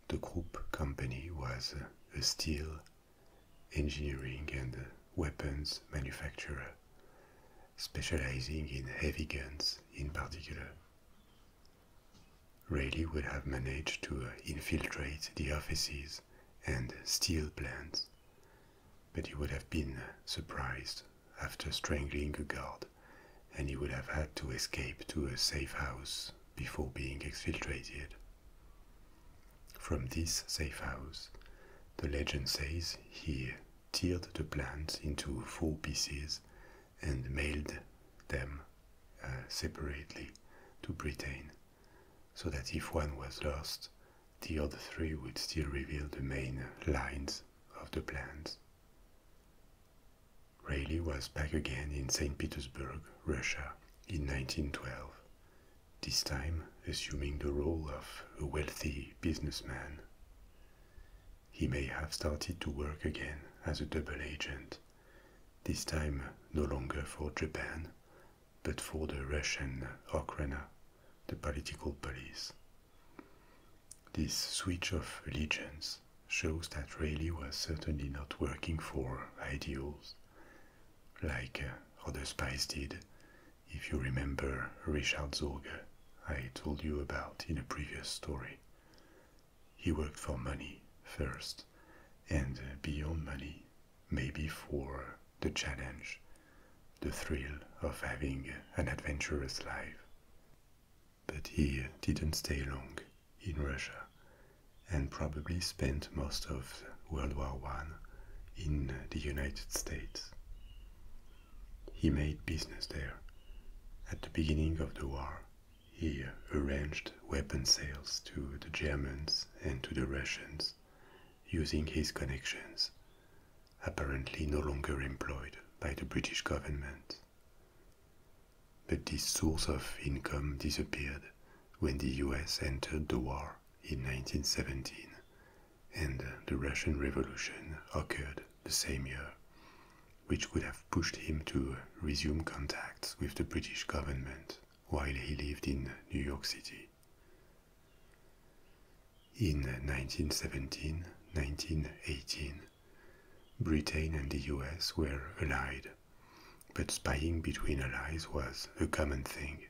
The Krupp company was a steel, engineering, and weapons manufacturer, specializing in heavy guns in particular. Rayleigh would have managed to infiltrate the offices and steel plants. But he would have been surprised after strangling a guard, and he would have had to escape to a safe house before being exfiltrated. From this safe house, the legend says he teared the plants into four pieces and mailed them uh, separately to Britain so that if one was lost, the other three would still reveal the main lines of the plans. Rayleigh was back again in St. Petersburg, Russia, in 1912, this time assuming the role of a wealthy businessman. He may have started to work again as a double agent, this time no longer for Japan, but for the Russian Okhrana, the political police. This switch of allegiance shows that Rayleigh was certainly not working for ideals, like uh, other spies did, if you remember Richard Zorger, I told you about in a previous story. He worked for money first, and uh, beyond money maybe for the challenge, the thrill of having an adventurous life. But he didn't stay long in Russia and probably spent most of World War I in the United States. He made business there. At the beginning of the war, he arranged weapon sales to the Germans and to the Russians using his connections, apparently no longer employed by the British government. But this source of income disappeared when the US entered the war in 1917 and the Russian Revolution occurred the same year, which would have pushed him to resume contacts with the British government while he lived in New York City. In 1917 1918, Britain and the US were allied, but spying between allies was a common thing,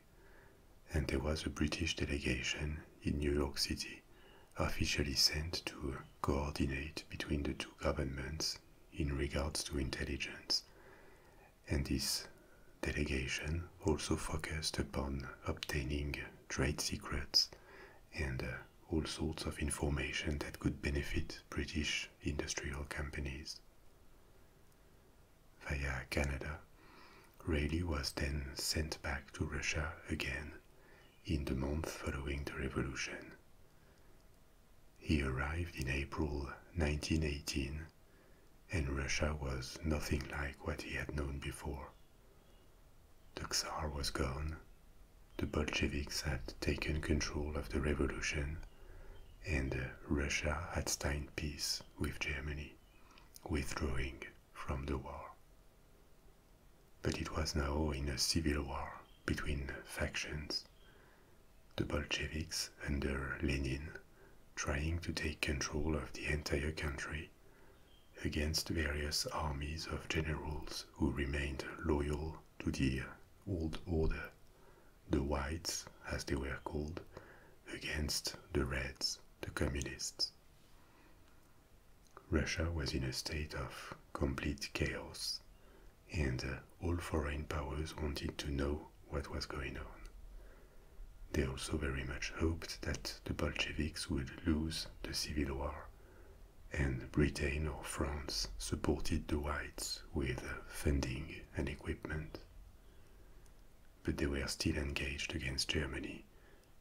and there was a British delegation in New York City officially sent to coordinate between the two governments in regards to intelligence and this delegation also focused upon obtaining trade secrets and uh, all sorts of information that could benefit British industrial companies. Via Canada, Raleigh was then sent back to Russia again in the month following the revolution. He arrived in April 1918 and Russia was nothing like what he had known before. The Tsar was gone, the Bolsheviks had taken control of the revolution, and uh, Russia had signed peace with Germany, withdrawing from the war. But it was now in a civil war between factions. The Bolsheviks under Lenin trying to take control of the entire country against various armies of generals who remained loyal to the old order, the whites as they were called, against the reds, the communists. Russia was in a state of complete chaos, and all foreign powers wanted to know what was going on. They also very much hoped that the Bolsheviks would lose the civil war, and Britain or France supported the whites with funding and equipment. But they were still engaged against Germany,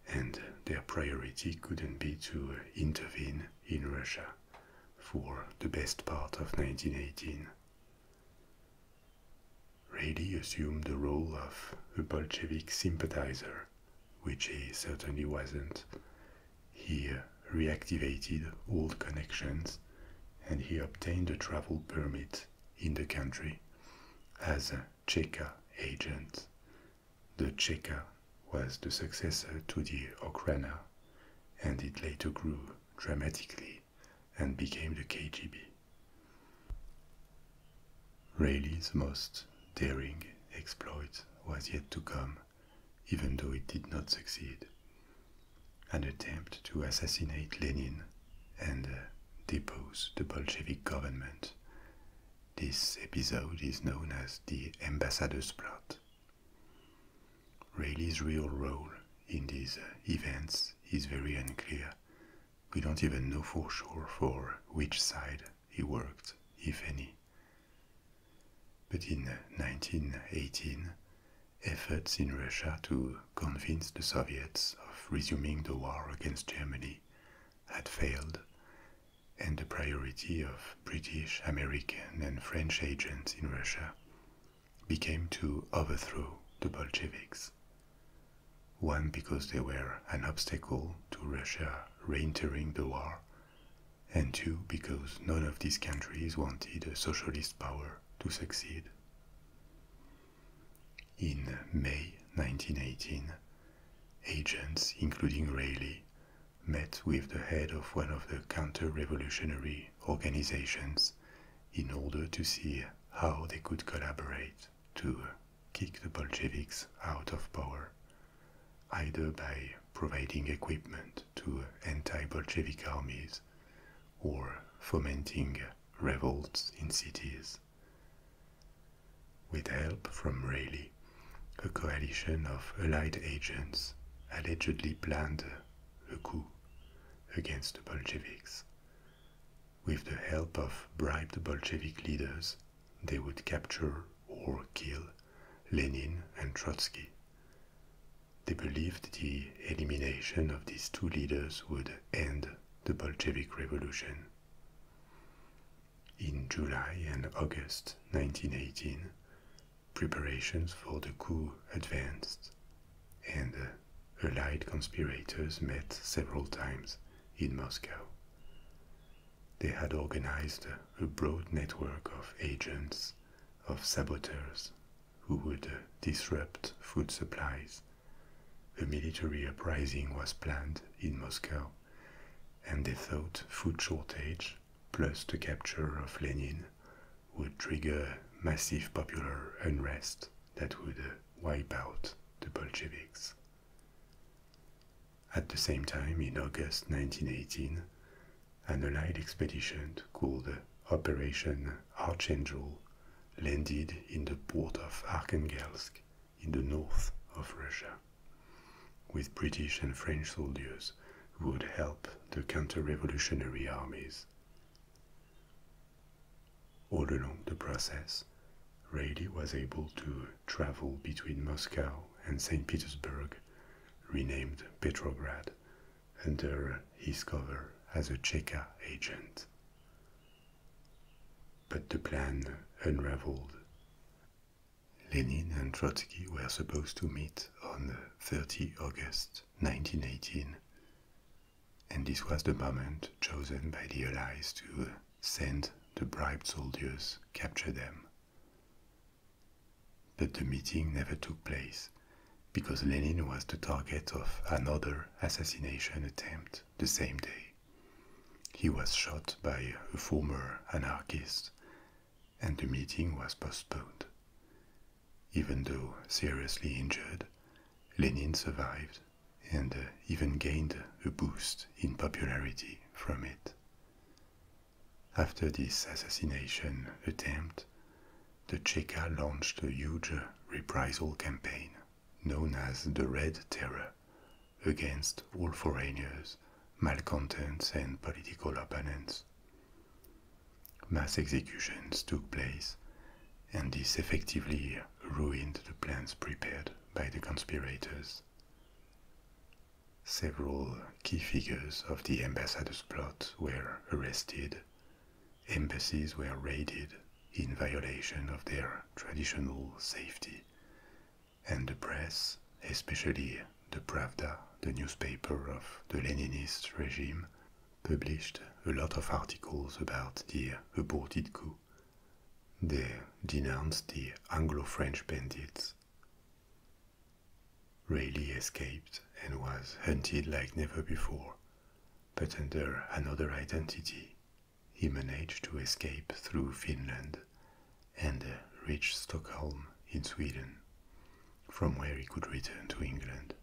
and their priority couldn't be to uh, intervene in Russia for the best part of 1918. Rayleigh assumed the role of a Bolshevik sympathizer, which he certainly wasn't. He reactivated old connections and he obtained a travel permit in the country as a Cheka agent. The Cheka was the successor to the Okhrana and it later grew dramatically and became the KGB. Rayleigh's most daring exploit was yet to come, even though it did not succeed. An attempt to assassinate Lenin and uh, depose the Bolshevik government. This episode is known as the Ambassador's Plot. Rayleigh's real role in these uh, events is very unclear, we don't even know for sure for which side he worked, if any. But in 1918, efforts in Russia to convince the Soviets of resuming the war against Germany had failed, and the priority of British, American, and French agents in Russia became to overthrow the Bolsheviks. One because they were an obstacle to Russia re-entering the war, and two because none of these countries wanted a socialist power to succeed. In May 1918, agents, including Rayleigh, met with the head of one of the counter-revolutionary organizations in order to see how they could collaborate to kick the Bolsheviks out of power, either by providing equipment to anti Bolshevik armies or fomenting revolts in cities. With help from Rayleigh, a coalition of Allied agents allegedly planned a coup against the Bolsheviks, with the help of bribed Bolshevik leaders, they would capture or kill Lenin and Trotsky. They believed the elimination of these two leaders would end the Bolshevik Revolution. In July and August 1918, preparations for the coup advanced, and allied conspirators met several times in Moscow. They had organized a broad network of agents, of saboteurs, who would uh, disrupt food supplies. A military uprising was planned in Moscow, and they thought food shortage plus the capture of Lenin would trigger massive popular unrest that would uh, wipe out the Bolsheviks. At the same time, in August 1918, an Allied expedition called Operation Archangel landed in the port of Arkhangelsk in the north of Russia, with British and French soldiers who would help the counter revolutionary armies. All along the process, Rayleigh was able to travel between Moscow and St. Petersburg, renamed Petrograd, under his cover as a Cheka agent. But the plan unraveled. Lenin and Trotsky were supposed to meet on 30 August 1918, and this was the moment chosen by the Allies to send the bribed soldiers, capture them. But the meeting never took place because Lenin was the target of another assassination attempt the same day. He was shot by a former anarchist, and the meeting was postponed. Even though seriously injured, Lenin survived and uh, even gained a boost in popularity from it. After this assassination attempt, the Cheka launched a huge reprisal campaign known as the Red Terror against all foreigners, malcontents, and political opponents. Mass executions took place and this effectively ruined the plans prepared by the conspirators. Several key figures of the ambassador's plot were arrested, embassies were raided in violation of their traditional safety, and the press, especially the Pravda, the newspaper of the Leninist regime, published a lot of articles about the aborted coup. They denounced the Anglo French bandits. Rayleigh escaped and was hunted like never before, but under another identity, he managed to escape through Finland and reached Stockholm in Sweden, from where he could return to England.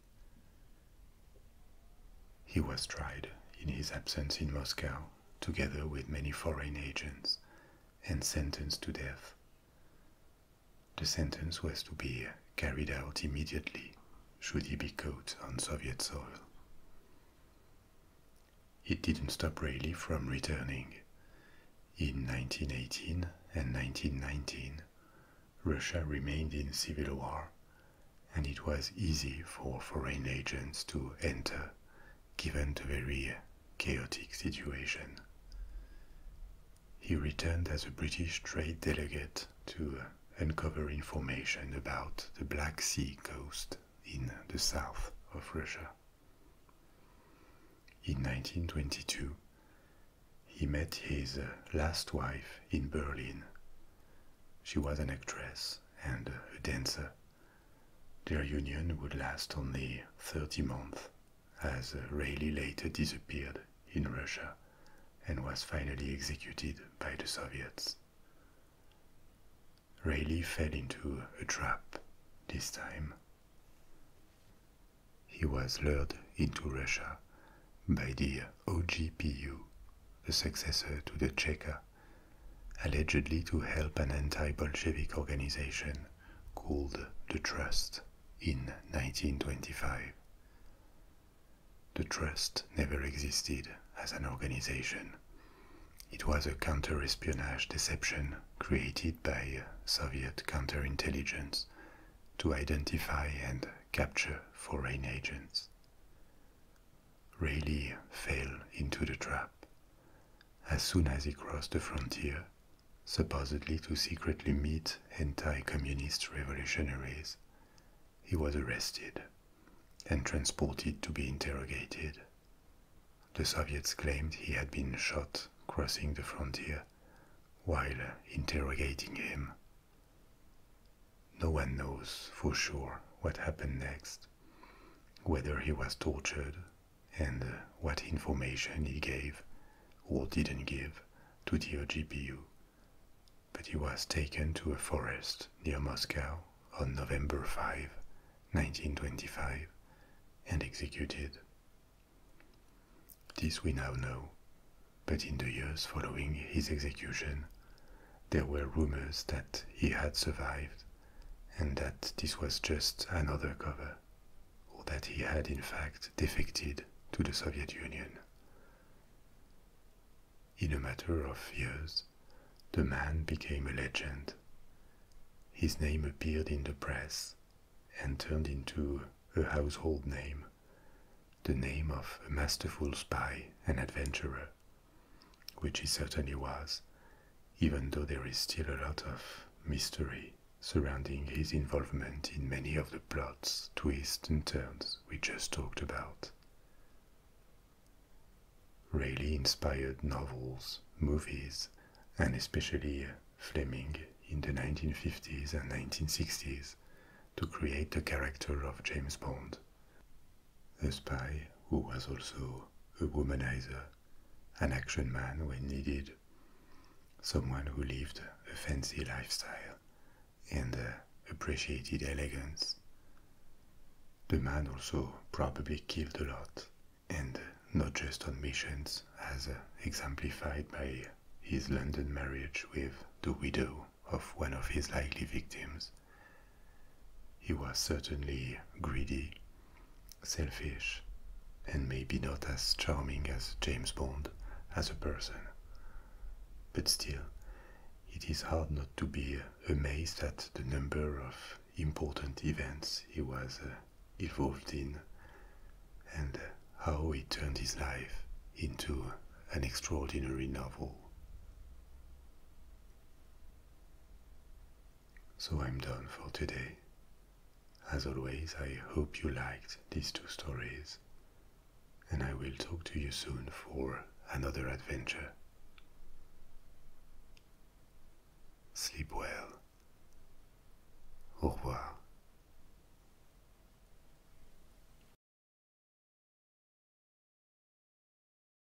He was tried in his absence in Moscow together with many foreign agents, and sentenced to death. The sentence was to be carried out immediately should he be caught on Soviet soil. It didn't stop Rayleigh from returning. In 1918 and 1919, Russia remained in civil war and it was easy for foreign agents to enter, given the very chaotic situation. He returned as a British trade delegate to uncover information about the Black Sea coast in the south of Russia. In 1922, he met his last wife in Berlin she was an actress and a dancer. Their union would last only 30 months, as Rayleigh later disappeared in Russia and was finally executed by the Soviets. Rayleigh fell into a trap this time. He was lured into Russia by the OGPU a successor to the Cheka, allegedly to help an anti Bolshevik organization called the Trust in 1925. The Trust never existed as an organization. It was a counter espionage deception created by Soviet counterintelligence to identify and capture foreign agents really fell into the trap. As soon as he crossed the frontier, supposedly to secretly meet anti communist revolutionaries, he was arrested and transported to be interrogated. The Soviets claimed he had been shot crossing the frontier while interrogating him. No one knows for sure what happened next whether he was tortured and what information he gave or didn't give to the OGPU. But he was taken to a forest near Moscow on November 5, 1925, and executed. This we now know, but in the years following his execution, there were rumors that he had survived and that this was just another cover, or that he had in fact defected to the Soviet Union. In a matter of years, the man became a legend. His name appeared in the press and turned into a household name, the name of a masterful spy and adventurer which he certainly was, even though there is still a lot of mystery surrounding his involvement in many of the plots, twists, and turns we just talked about. Rayleigh inspired novels, movies, and especially Fleming in the 1950s and 1960s to create the character of James Bond, a spy who was also a womanizer, an action man when needed, someone who lived a fancy lifestyle and uh, appreciated elegance. The man also probably killed a lot, and not just on missions, as uh, exemplified by his London marriage with the widow of one of his likely victims. He was certainly greedy, selfish, and maybe not as charming as James Bond as a person. But still, it is hard not to be amazed at the number of important events he was uh, involved in and how he turned his life into an extraordinary novel. So I'm done for today. As always, I hope you liked these two stories, and I will talk to you soon for another adventure. Sleep well. Au revoir.